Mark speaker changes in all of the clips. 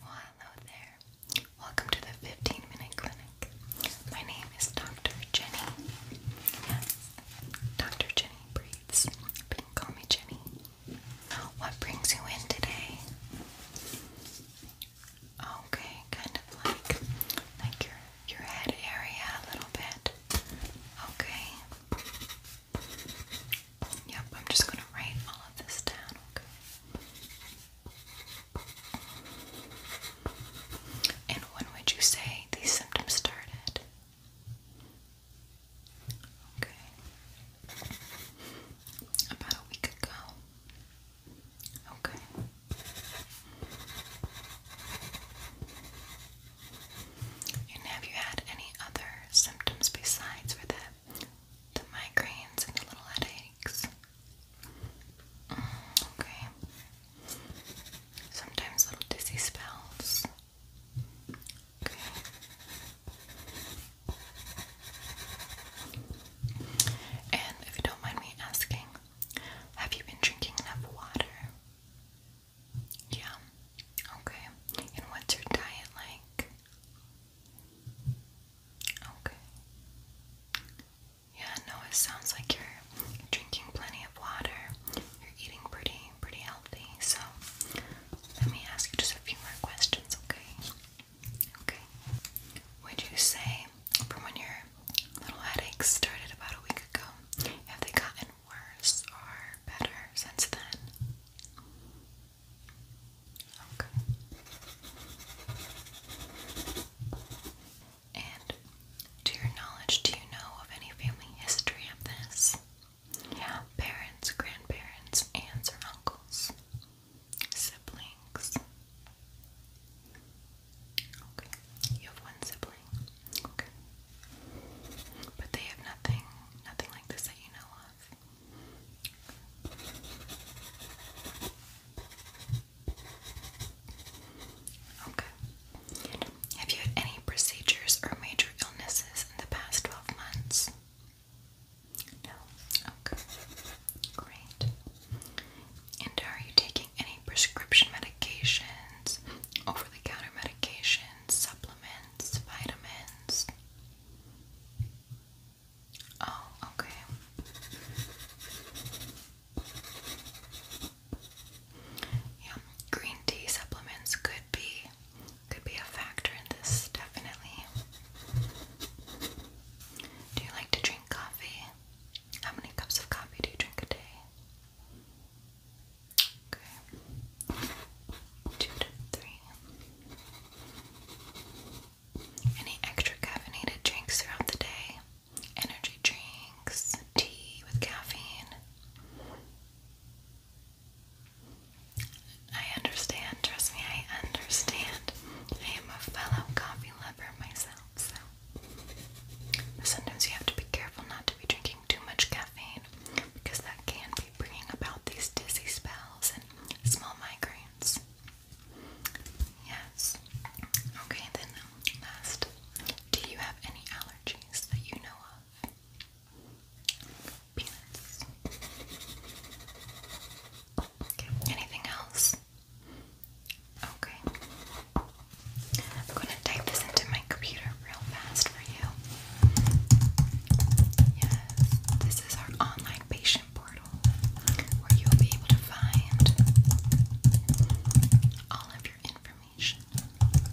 Speaker 1: Well, hello there. Welcome to the 15 Minute Clinic. My name is Dr. Jenny. Dr. Jenny Breathes. you can call me Jenny. What brings you in today? Okay, kind of like like your your head area a little bit. Okay. Yep, I'm just going to write all of this down, okay? And when would you say these symptoms started? Okay. About a week ago. Okay. And have you had any other symptoms besides for the the migraines and the little headaches? Mm, okay. Sometimes little dizzy spells. Okay. And if you don't mind me asking, have you been drinking enough water? Yeah. Okay. And what's your diet like? Okay. Yeah, no, it sounds like you're drinking plenty of water. You're eating pretty, pretty healthy. So let me ask you just a few more questions, okay? Okay. Would you say from when your little headaches started about a week ago? Have they gotten worse or better since then? Okay. And to your knowledge, do you know of any family history of this? Yeah, parents, grandparents, aunts or uncles, siblings. Okay. You have one sibling. Okay. But they have nothing nothing like this that you know of. Okay. Have you had any procedures or major illnesses in the past 12 months? No. Okay. Great. And are you taking any prescription medications, over the counter medications, supplements, vitamins. Oh, okay. Yeah, green tea supplements could be could be a factor in this definitely. Do you like to drink coffee? How many cups of coffee do you drink a day? Okay. Two to three. Any extra caffeinated drinks throughout the day? Energy drinks, tea with caffeine. I understand, trust me, I understand. I am a fellow coffee lover myself, so Sometimes you have to be careful not to be drinking too much caffeine because that can be bringing about these dizzy spells and small migraines. Yes. Okay, then last, do you have any allergies that you know of? Peanuts. Oh, okay, anything else? Okay. I'm going to type this into my computer real fast for you. Yes, this is our online patient portal where you'll be able to find all of your information. Alright,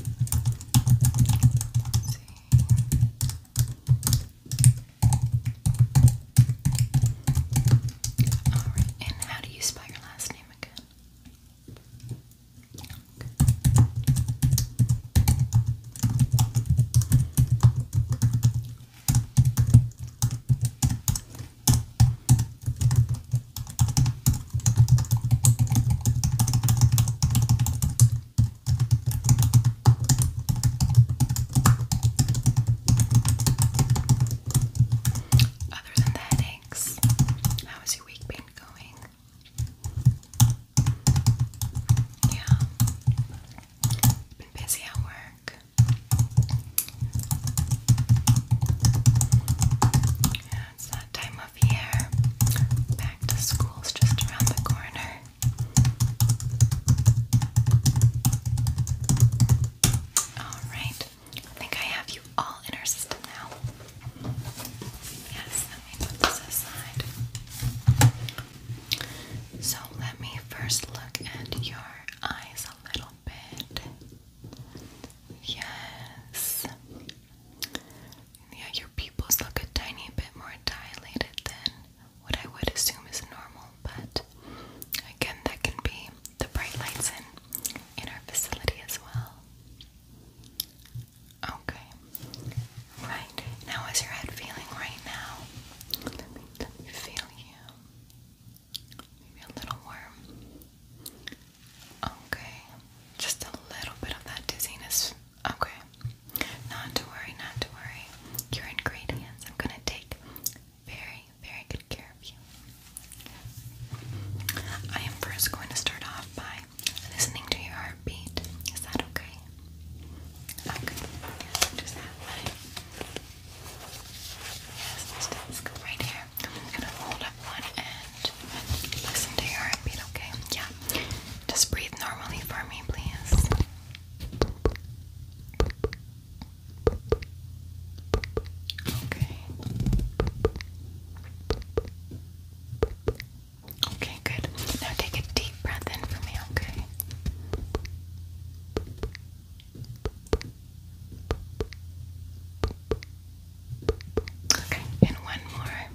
Speaker 1: and how do you spell your last name again? Other than that, thanks. How is your week been going? Yeah. Been busy at work. Yeah, it's that time of year. Back to school's just around the corner. Alright, I think I have you all in our system now. Yes, let me put this aside. So let me first look at your eyes a little bit. Yes. Yeah, your pupils look a tiny bit more dilated than what I would assume is normal, but again, that can be the bright lights in in our facility as well. Okay. Right. Now how's your head feeling right now? Let me feel you. Maybe a little warm. Okay. Just a little bit of that dizziness. Okay. Not to worry, not to worry. Your ingredients. I'm gonna take very, very good care of you. I am first going to start off by listening to your heartbeat. Is that okay? Okay. Yes, just that way. Yes, let's go right here. I'm gonna hold up one and listen to your heartbeat, okay? Yeah. Just breathe normally for me, please. Okay. Okay, good. Now take a deep breath in for me, okay? Okay, and one more.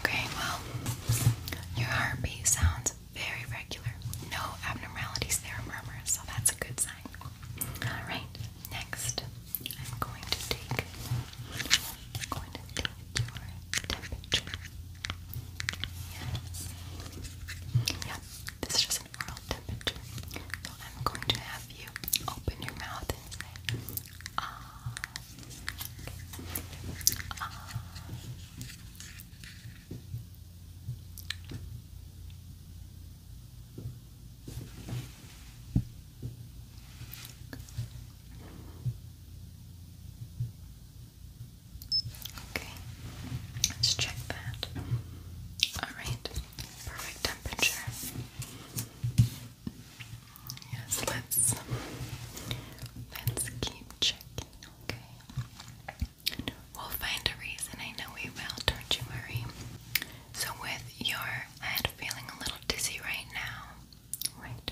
Speaker 1: Okay, well, your heartbeat sounds very regular. No abnormalities there murmurs, so that's a good sign. Alright, next I'm going to take I'm going to take your temperature. Yes. Yeah, this is just an oral temperature. So I'm going to have you open your mouth and say ah. ah. Okay, let's check that. Alright, perfect temperature. Yes, let's let's keep checking We'll find a reason. I know we will, don't you worry. So, with your head feeling a little dizzy right now, right?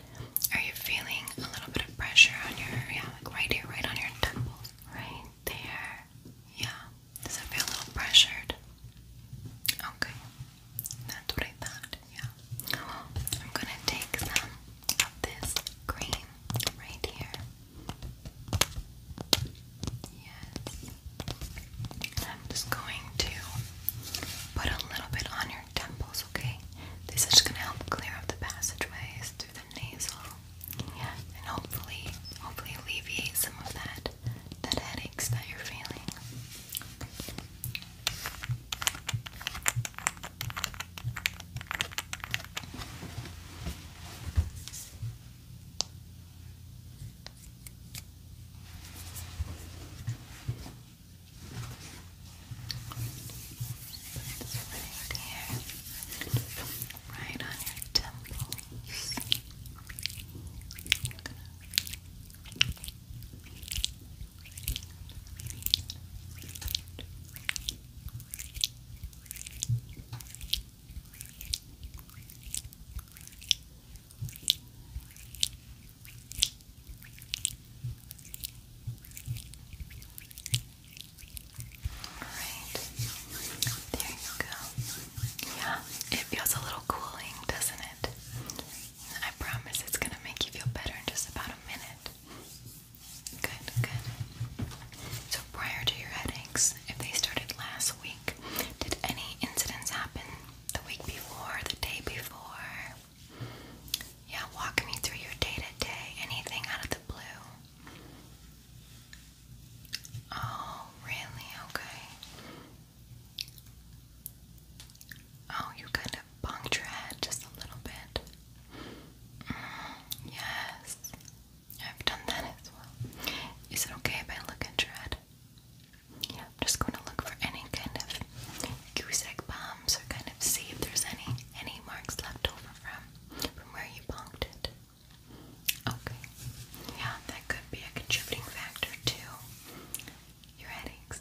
Speaker 1: Are you feeling a little bit of pressure on your, yeah, like right here, right on your temples, right there? Yeah. Does it feel a little pressured? Okay. That's what I thought. Yeah. I'm gonna take some this cream right here. Yes. I'm just going to put a little bit on your temples, okay? This is gonna help clear up the passageways through the nasal. Yeah, and hopefully, hopefully alleviate some of that that headaches that you're feeling. Right on your temples. Gonna there you go. Yeah, it feels a little cooling, doesn't it? I promise it's gonna make you feel better in just about a minute. Good, good. So prior to your headaches, if they started last week, did any incidents happen the week before, the day before? Yeah, walk me through your day to day. Anything out of the blue? Oh, really? Okay. Oh, you kind of Bonked your head just a little bit. Mm, yes, I've done that as well. Is it okay if I look at your head? Yeah, I'm just going to look for any kind of goose egg bombs or kind of see if there's any any marks left over from from where you bonked it. Okay, yeah, that could be a contributing factor too. Your headaches.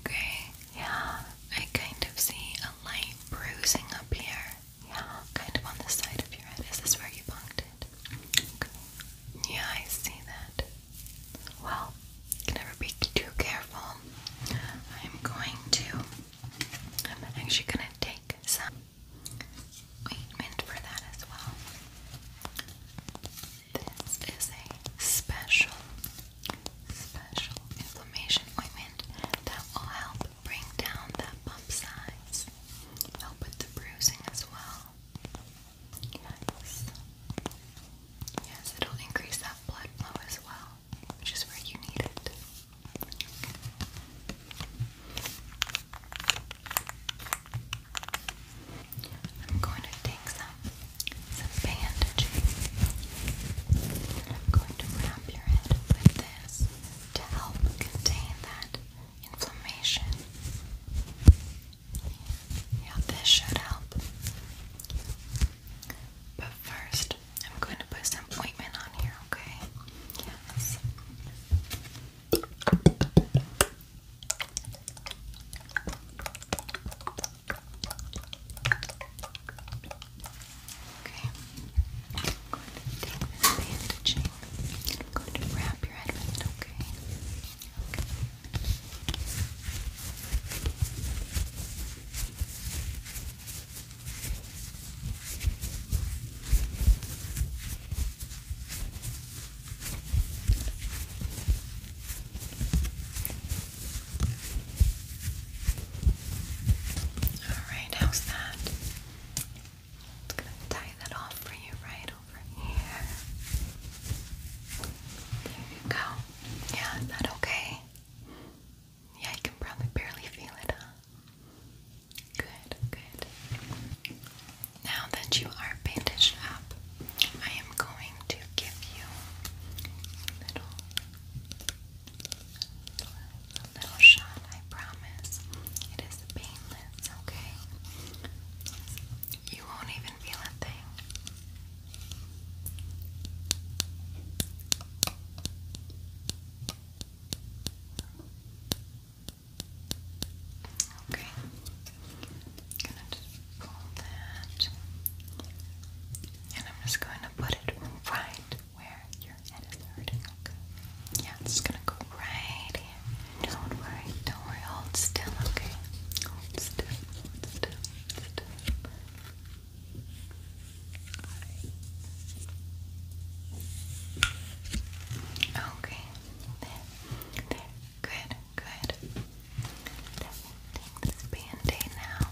Speaker 1: Okay, yeah, I kind of see a light bruising up here. Yeah, kind of on the side of your head. Is this where you punked? it? Yeah, I see that. Well, can never be too careful. I'm going to. I'm actually gonna take some ointment for that as well. This is a special, special inflammation ointment that will help bring down that bump size, help with the bruising as well. Yes. Yes, it'll increase that blood flow as well, which is where you need it. I'm going to take some some bandaging. I'm going to wrap your head with this to help contain that inflammation. Yeah, this should help. But first, I'm going to put some ointment on here, okay? Yes. Okay. I'm going to take this bandaging. I'm going to wrap your head with it, okay? Okay. Okay. Alright, how's that? It's gonna tie that off for you right over here. There you go. Yeah, is that okay? Yeah, you can probably barely feel it, huh? Good, good. Now that you are bandaged up, I am going to give you a little, a little shot, I promise. It is painless, okay? You won't even feel a thing. Okay that. And I'm just going to put it right where your head is hurting, okay? Yeah, it's gonna go right here. Don't worry, don't worry, hold still, okay? Hold still, hold still, hold still. Okay. There, there, Good, good. Take this band-aid now.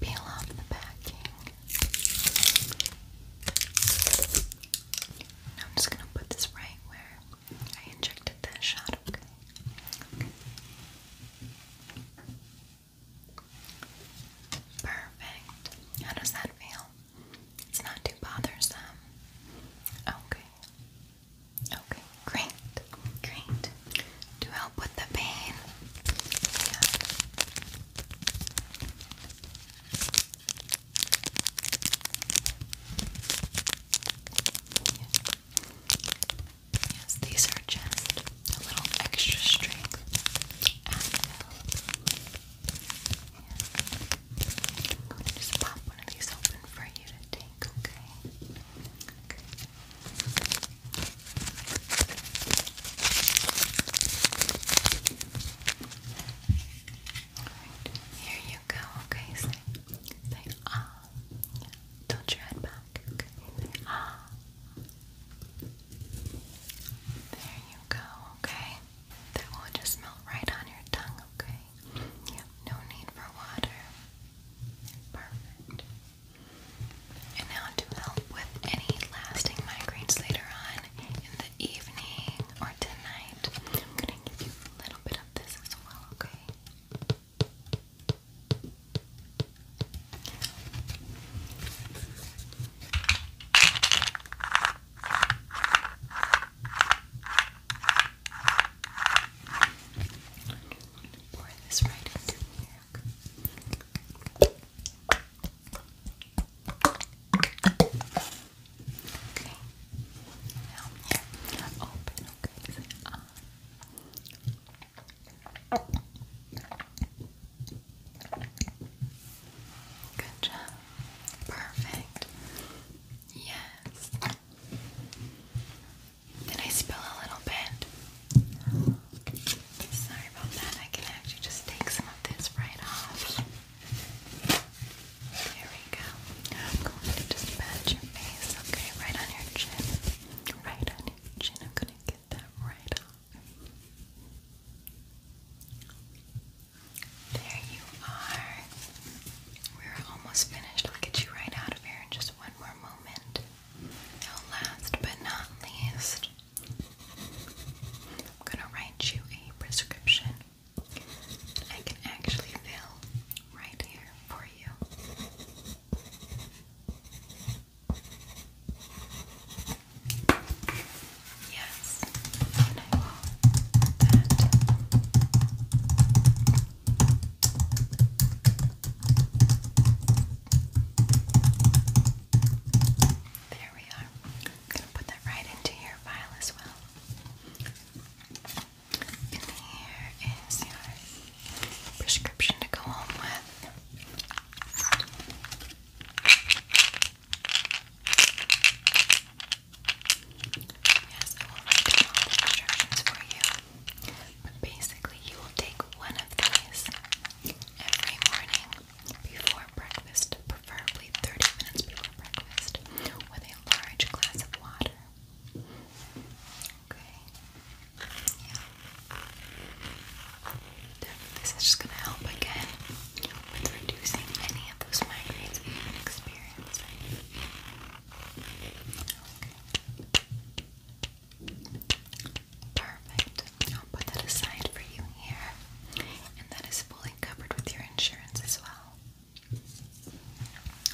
Speaker 1: Peel off the backing. Now I'm just gonna put this right where I injected that shot, okay. Perfect. How does that feel? It's not too bothersome. Okay. Okay, great, great. To help with the pain. Yes, these are just a little extra strength. Yeah. just pop one of these open for you to take, okay? Alright, here you go, okay? Say, say ah. Tilt your head back, ah. There you go, okay? That will just melt right on your tongue, okay? Yep, no need for water. Perfect. And now to help with any lasting migraines later on in the evening or tonight, I'm gonna give you a little bit of this as well, okay? Pour this right into the Okay. Now here. Open. Okay. Good job. Perfect. Yes. Did I spill a little bit? Sorry about that. I can actually just take some of this right off. There we go. I'm going to just pat your face, okay? Right on your chin. Right on your chin. I'm going to get that right off. There you are. We're almost finished. I'll get you right out of here in just one more moment. last but not least, I'm gonna write you a prescription. I can actually fill right here for you. Yes, and I will there we are. going to put that right into your file as well. And here is your prescription to go home with. Yes, I will write the instructions for you basically, you will take one of these every morning before breakfast, preferably 30 minutes before breakfast, with a large glass of water. Okay. Yeah. This is just going to help again with reducing any of those migraines we've been experiencing. Okay. Perfect. I'll put that aside for you here. And that is fully covered with your insurance as well.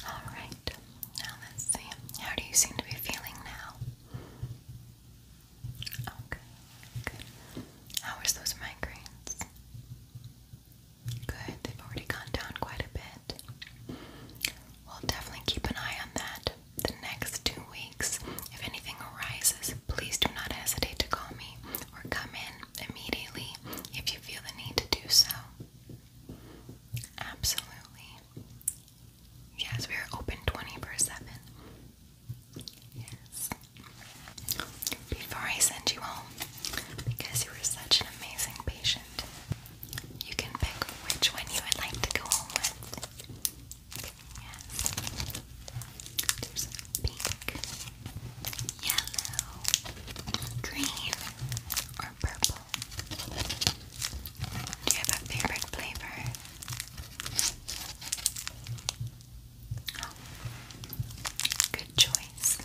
Speaker 1: Alright. Now let's see. How do you seem to be feeling now? Okay. Good. How is those migraines? Good, they've already gone down quite a bit. We'll definitely keep an eye on that the next two weeks. If anything arises, please do not hesitate to call me or come in immediately if you feel the need to do so. Absolutely. Yes, we are open 24-7. Yes. Before I send you home, because you were such an amazing patient, you can pick which one you would like to go home with. Yes. There's pink, yellow, green, or purple. Do you have a favorite flavor? Oh, good choice.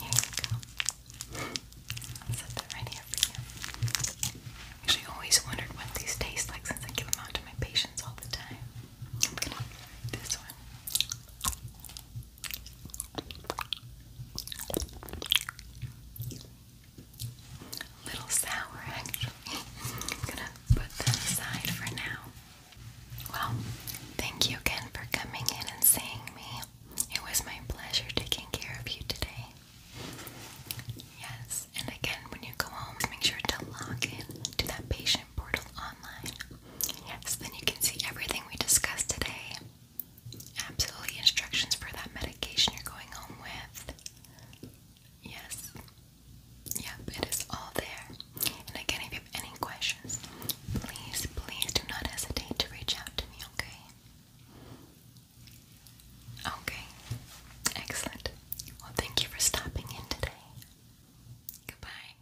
Speaker 1: Here you go set that right here for you. Actually, always wondered what these taste like since I give them out to my patients all the time. this one. little sour, actually. I'm gonna put that aside for now. Well, thank you again for coming in and seeing me. It was my pleasure taking care of you today. Yes, and again, when you go home, make sure to log in that patient portal online. Yes, then you can see everything we discussed today. Absolutely, instructions for that medication you're going home with. Yes. Yep, it is all there. And again, if you have any questions, please, please do not hesitate to reach out to me, okay? Okay, excellent. Well, thank you for stopping in today. Goodbye.